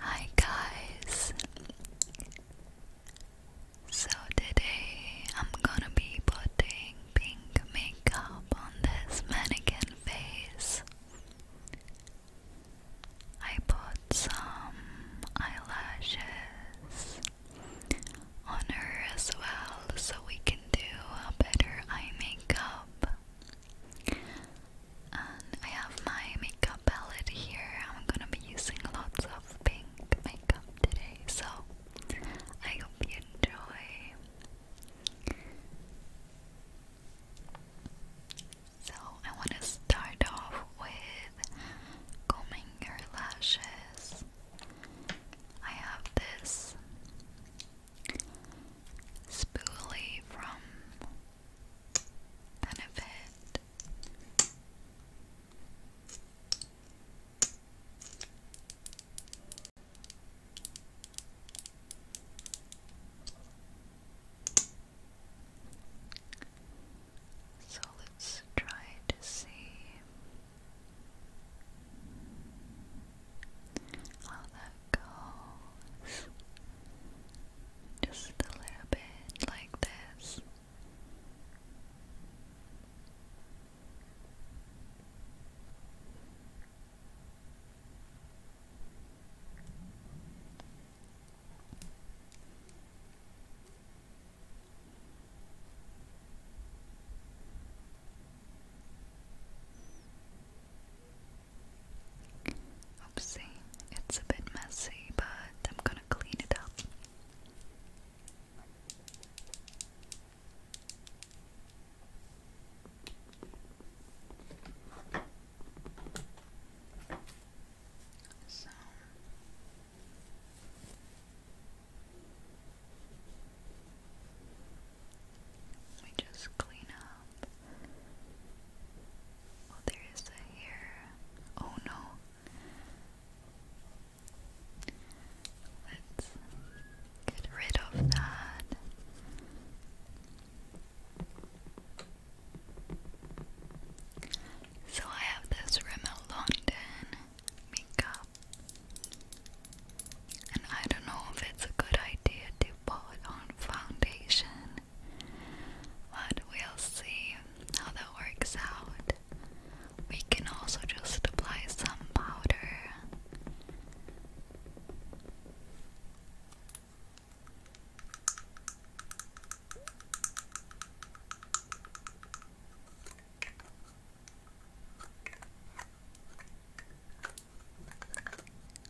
Hi guys. So today I'm gonna be putting pink makeup on this mannequin face. I put some eyelashes on her as well so we can do a better eye makeup. I have my makeup palette here. I'm gonna be using lots of pink makeup today, so I hope you enjoy. So, I want to start off with combing your lashes. I have this Spoolie from Benefit. So let's try to see how that goes. Just a little bit like this. Oopsie, it's a bit messy, but I'm gonna clean it up. So let just clean up. Oh, there is a hair. Oh no. Let's get rid of that. So I have this Rimmel London makeup and I don't know if it's a good idea to put on foundation, but we'll see how that works out. We can also just apply some powder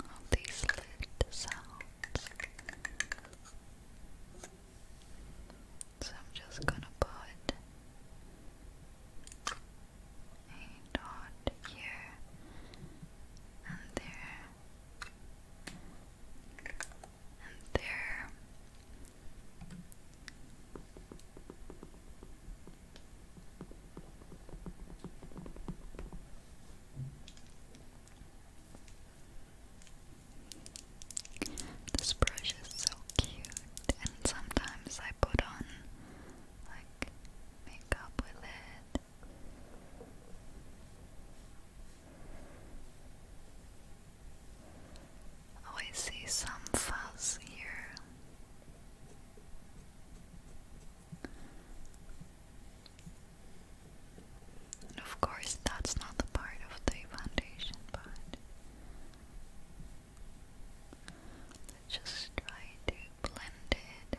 all these lid sounds. So I'm just gonna put a dot here and there and there this brush is so cute, and sometimes I put on like makeup with it. Oh, I see some fuzz here of course, that's not the part of the foundation but just try to blend it.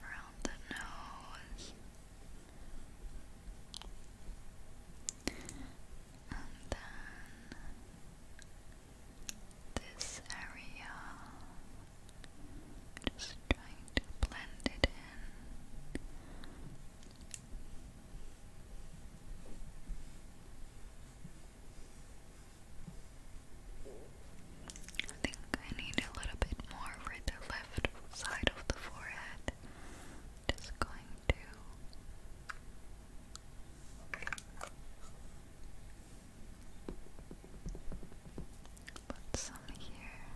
Around the nose and then this area, just trying to blend it in. I think I need a little bit more for the left side of the forehead. Just going to put some here.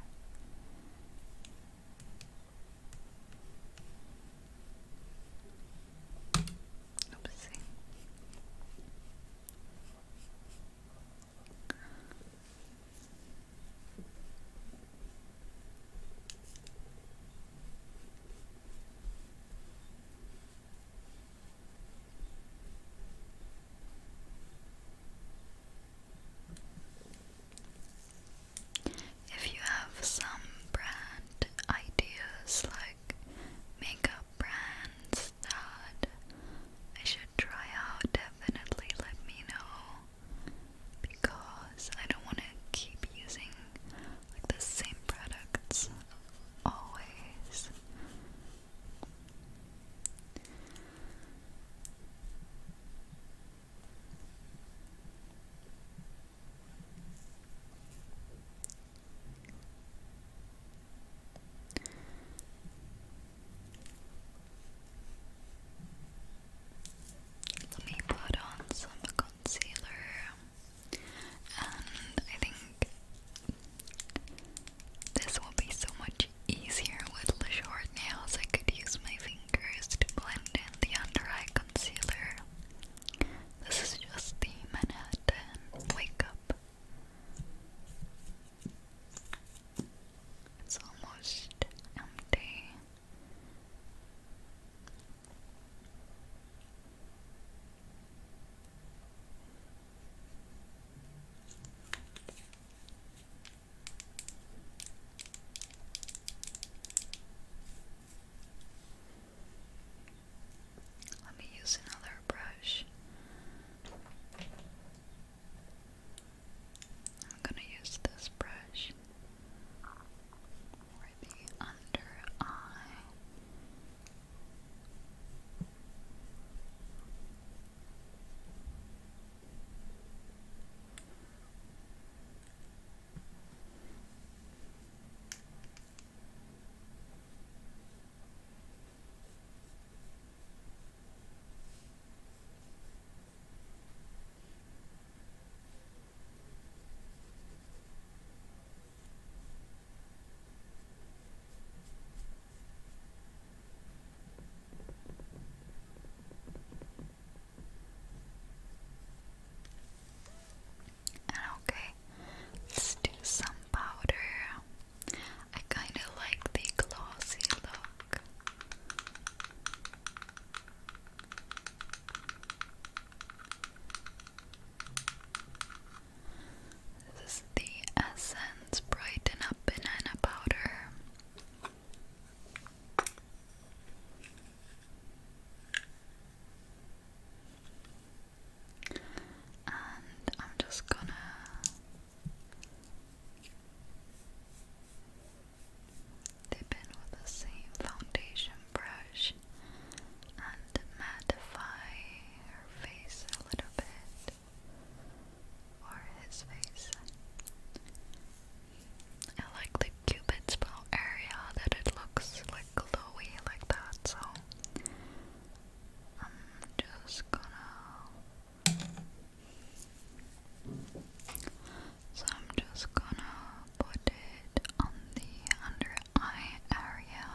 Oopsie. If you have some brand ideas like makeup brands that I should try out, definitely let me know because I don't want to keep using like the same products always. Let me put on some concealer, and I think this will be so much easier with the short nails. I could use my fingers to blend in the under eye concealer. This is just the Manhattan Wake Up. It's almost empty. Let me use another brush. I'm gonna use this brush for the under eye okay, let's do some powder. I kind of like the glossy look. This is the Essence Brighten Up Banana Powder. And I'm just gonna Dip in with the same foundation brush and mattify her face a little bit, or his face. I like the cupid's bow area that it looks like glowy like that, so I'm just gonna so I'm just gonna put it on the under eye area.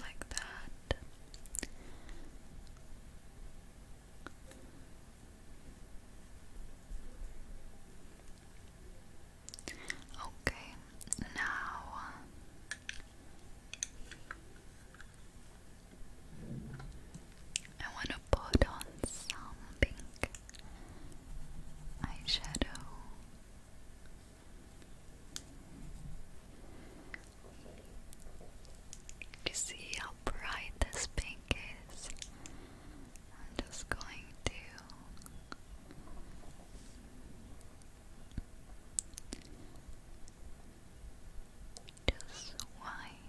Like that. Okay, now I want to put on some pink eyeshadow. you see how bright this pink is? I'm just going to just wipe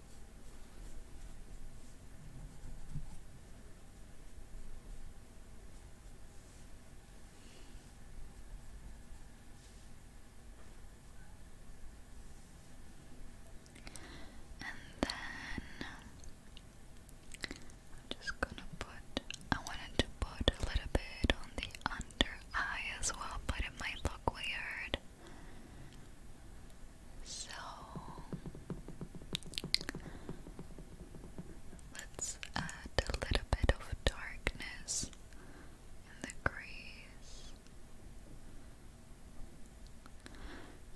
And then I'm just gonna put, I wanted to put a little bit on the under eye as well, but it might look weird. So let's add a little bit of darkness in the crease.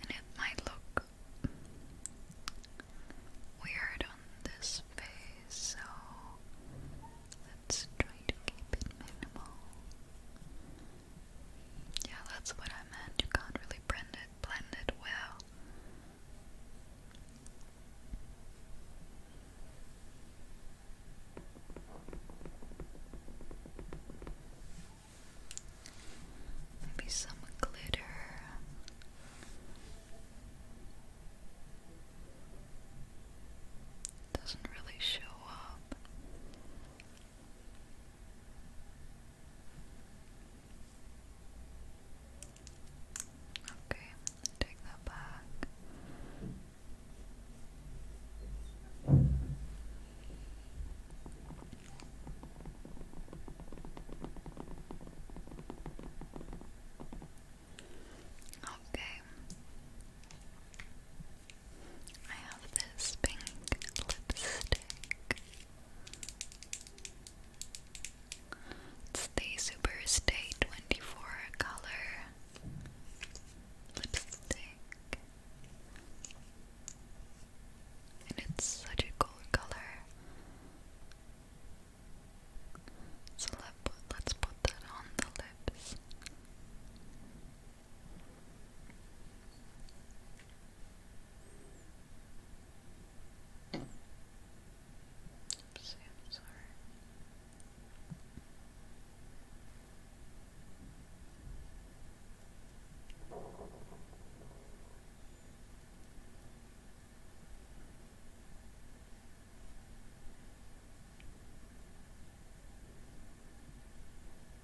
And it might look weird on this face, so let's try to keep it minimal. Yeah, that's what I meant. You can't really blend it, blend it well. Maybe some glitter. Doesn't really show up Okay, take that back. Okay. I have this pink lipstick. It's the Super Stay 24 color lipstick. And it's such a cool color. So let, let's put that on the lips. Oops, I'm sorry.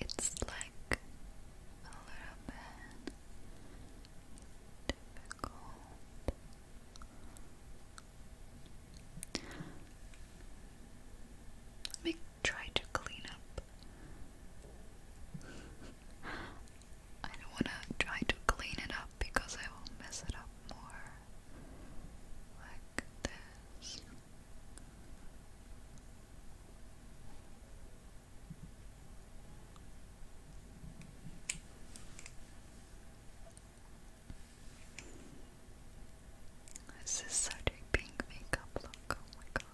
It's like a little bit difficult. Let me try to clean up. I don't want to try to clean it up because I will mess it up more. This is such a pink makeup look, oh my god.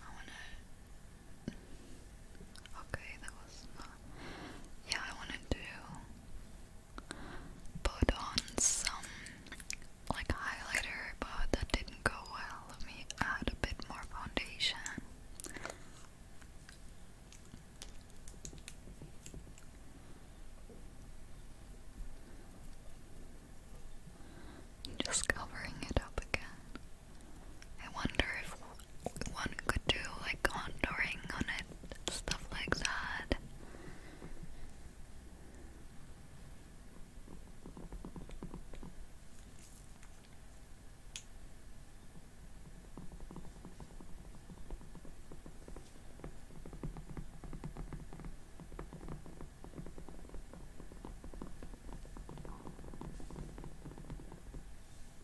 I want to Okay, that was Yeah, I wanted to put on some like highlighter, but that didn't go well. Let me add a bit more foundation. Just covering it up again. I wonder if one could do like contouring on it, stuff like that.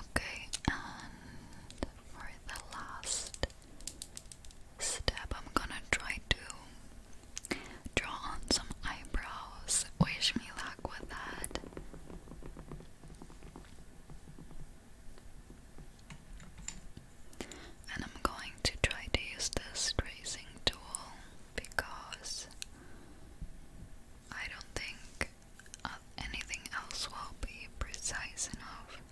Okay, and for the last step, I'm gonna try to draw on some eyebrows. Wish me luck with that. And I'm going to try to use this tracing tool because I don't think uh, anything else will be precise enough.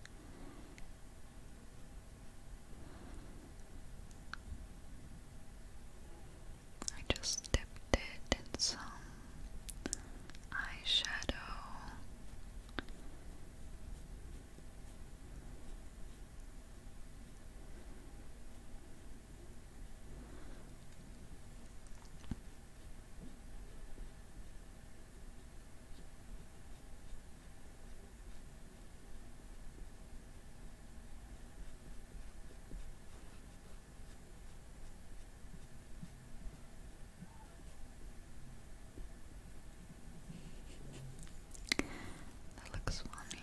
I just dipped it in some eyeshadow. That looks funny.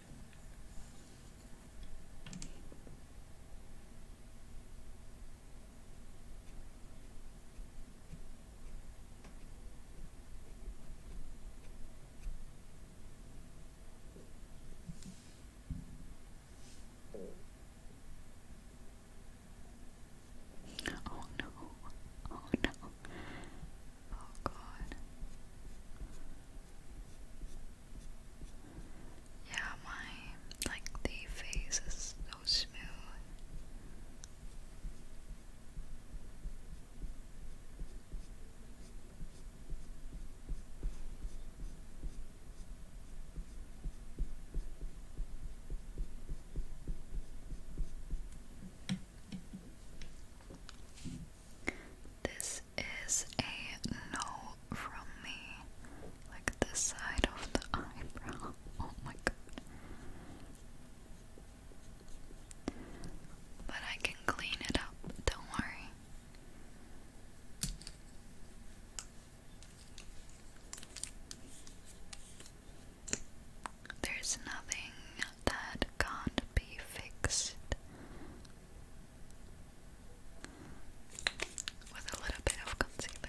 Oh no, oh no. Oh god. Yeah, my like the face is so smooth. This is a no from me. Like the side of the eyebrow. Oh my god. But I can clean it up, don't worry. There's nothing that can't be fixed with a little bit of concealer.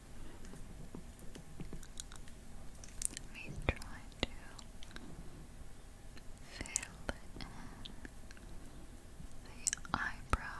Let me try to fill in the eyebrow.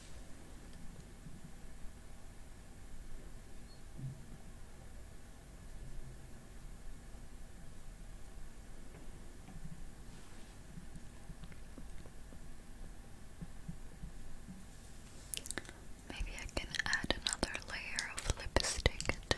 Maybe I can add another layer of lipstick too.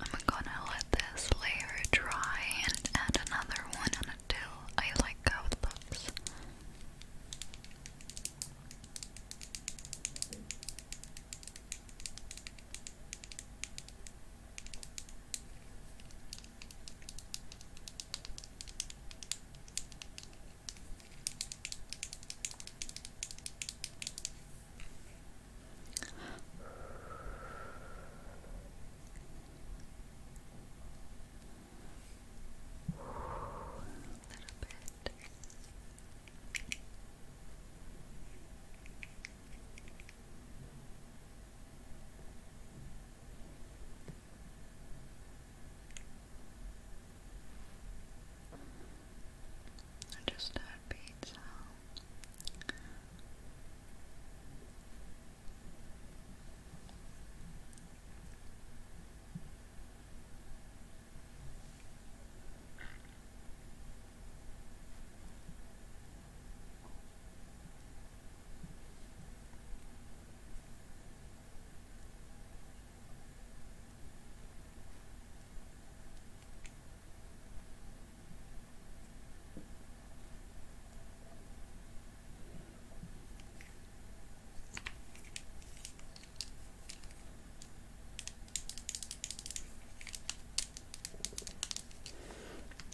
I'm gonna let this layer dry and add another one until I like how it looks bit. Good. I just had pizza.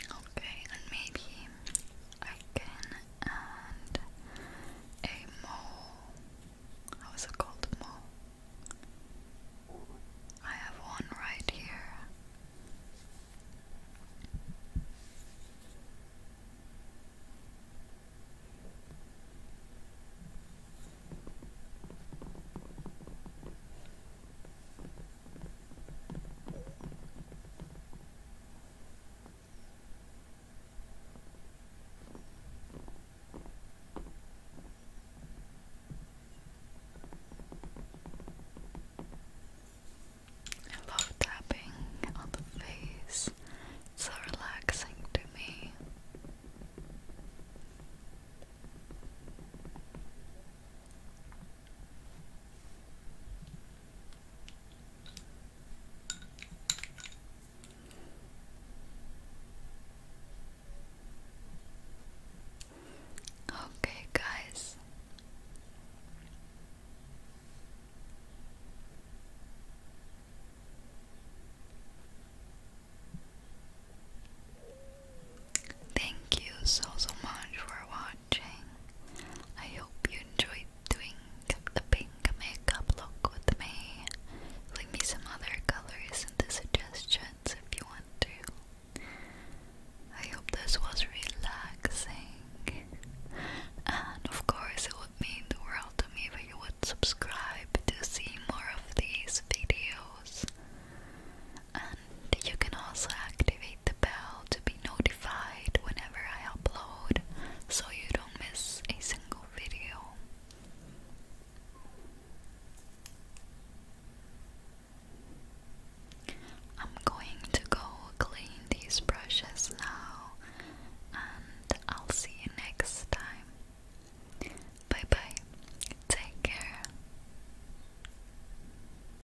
Okay, and maybe again and a mole. How is it called? Mole. I have one right here. I love tapping on the face. It's so relaxing to me. Okay, guys. Thank you so so much for watching. I hope you enjoyed doing the pink makeup look with me. Leave me some other colors in the suggestions if you want to. I hope this was relaxing. And of course, it would mean the world to me if you would subscribe to see more of these videos and you can also activate the bell to be notified whenever I upload so you don't miss a single video. I'm going to go clean these brushes now, and I'll see you next time. Bye bye, take care.